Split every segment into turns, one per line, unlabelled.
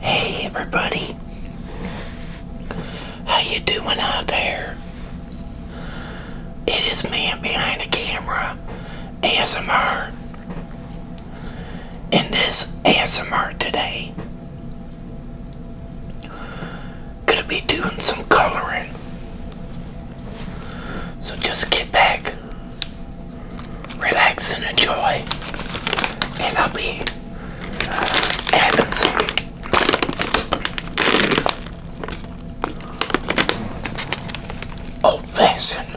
Hey everybody. How you doing out there? It is man behind the camera ASMR. In this ASMR today. Gonna be doing some coloring. So just get back, relax and enjoy, and I'll be uh, having some old-fashioned it.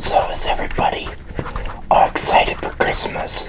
So is everybody all excited for Christmas?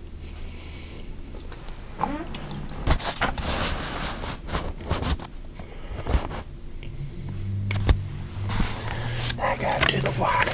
I gotta do the water.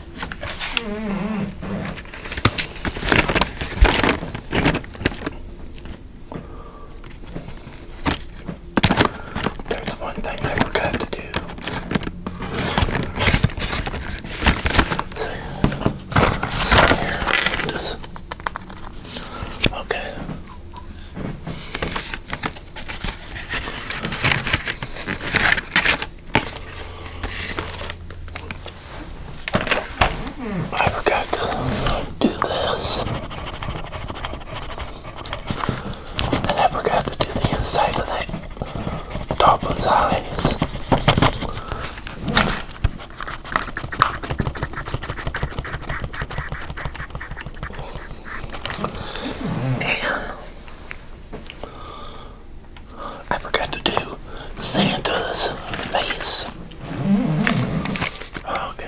There's one thing I forgot to do. Here, just, okay. I forgot to do this. I forgot to do the inside of that top of his eyes. And I forgot to do Santa's face. Okay.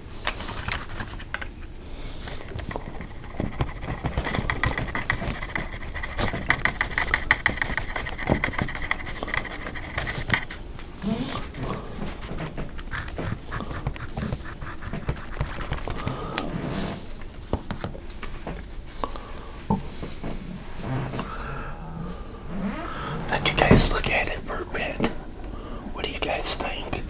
Let you guys look at it for a bit. What do you guys think?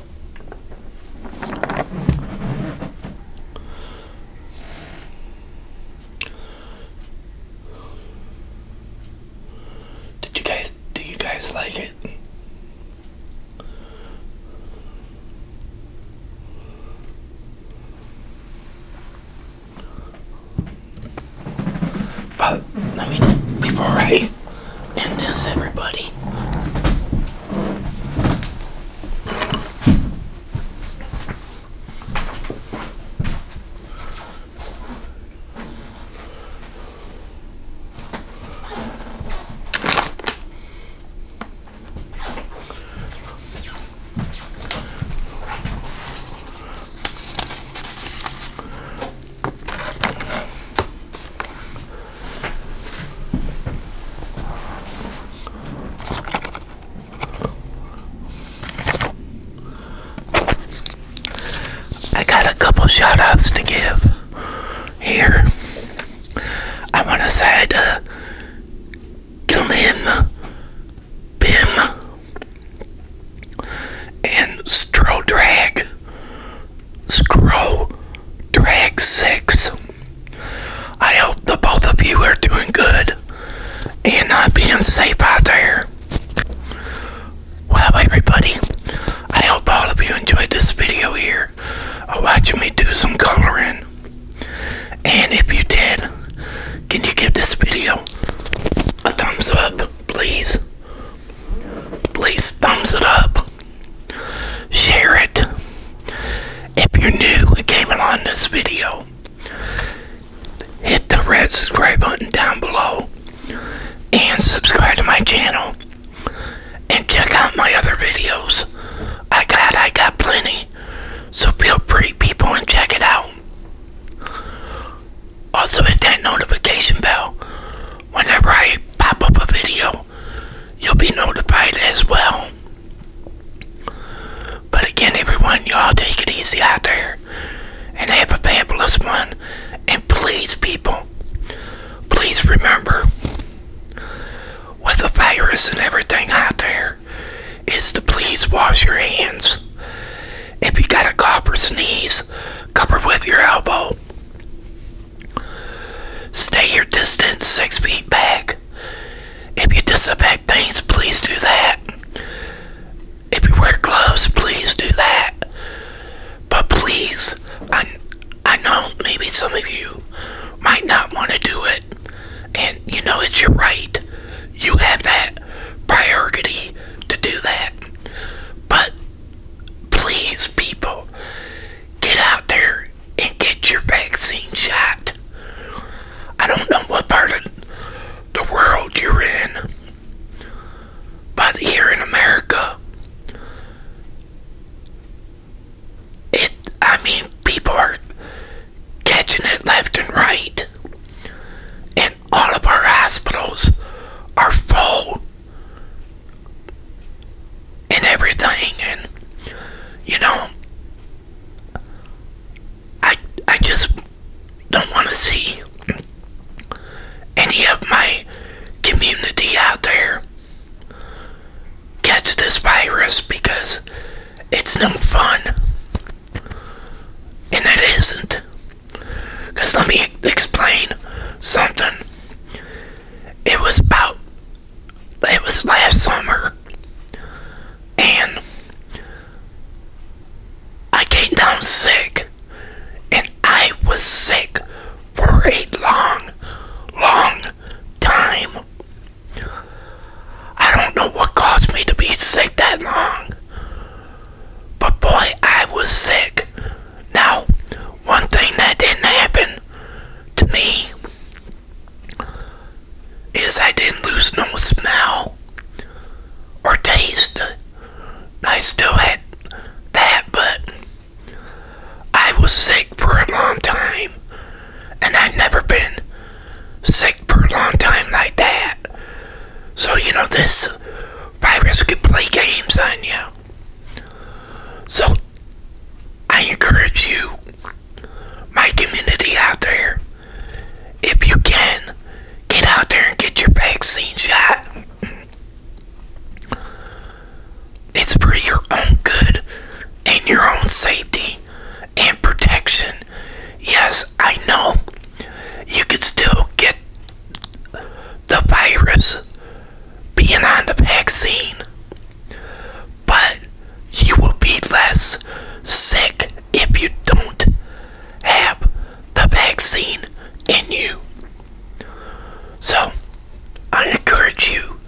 Did you guys do you guys like it? But let me, before I and this, everybody. I got a couple shoutouts to give here. I want to say to Glenn Bim and Strodrag Scroll Drag 6. I hope that both of you are doing good and not being safe out there. Well, everybody, I hope all of you enjoyed this video here of watching me do some coloring. And if you did, can you give this video a thumbs up, please? please thumbs it up, share it. If you're new and came along this video, hit the red subscribe button down below and subscribe to my channel and check out my other videos. I got I got plenty. So feel free people and check it out. Also hit that notification bell. Whenever I pop up a video, you'll be notified as well. But again, everyone, y'all take it easy out there. And have a fabulous one. And please, people, please remember, with the virus and everything out there, is to please wash your hands. If you got a cough or sneeze, cover with your elbow Stay your distance six feet back. If you disinfect things, please do that. If you wear gloves, please do that. But please, I, I know maybe some of you might not want to do it. And you know it's your right. You have that priority to do that. But please, people, get out there and get your vaccine shot. I don't know what part of the world you're in, but here in America, it, I mean, people are catching it left and right, and all of our hospitals are full and everything and you know I I just don't want to see any of my community out there catch this virus because it's no fun and it isn't because let me explain something. It was about, it was last summer, and I came down sick, and I was sick for a long, long time. I don't know what caused me to be sick that long, but boy, I was sick now, one thing that didn't happen to me is I didn't lose no smell or taste. I still had that, but I was sick for a long time, and I've never been sick for a long time like that. So, you know, this virus could play games on you. So, I encourage you, my community out there, if you can, get out there and get your vaccine shot. It's for your own good and your own safety and protection. Yes, I know you could still get the virus being on the vaccine, but you will be less sick if you don't have the vaccine in you. So, I encourage you,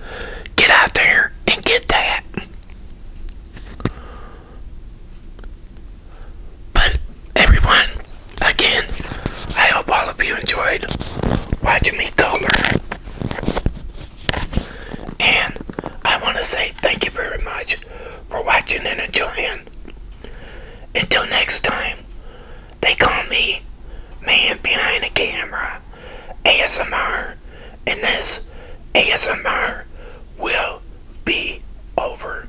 get out there and get that. But, everyone, again, I hope all of you enjoyed watching me color. And I want to say thank you very much for watching and enjoying. Until next time, they call me Man Behind the Camera ASMR, and this ASMR will be over.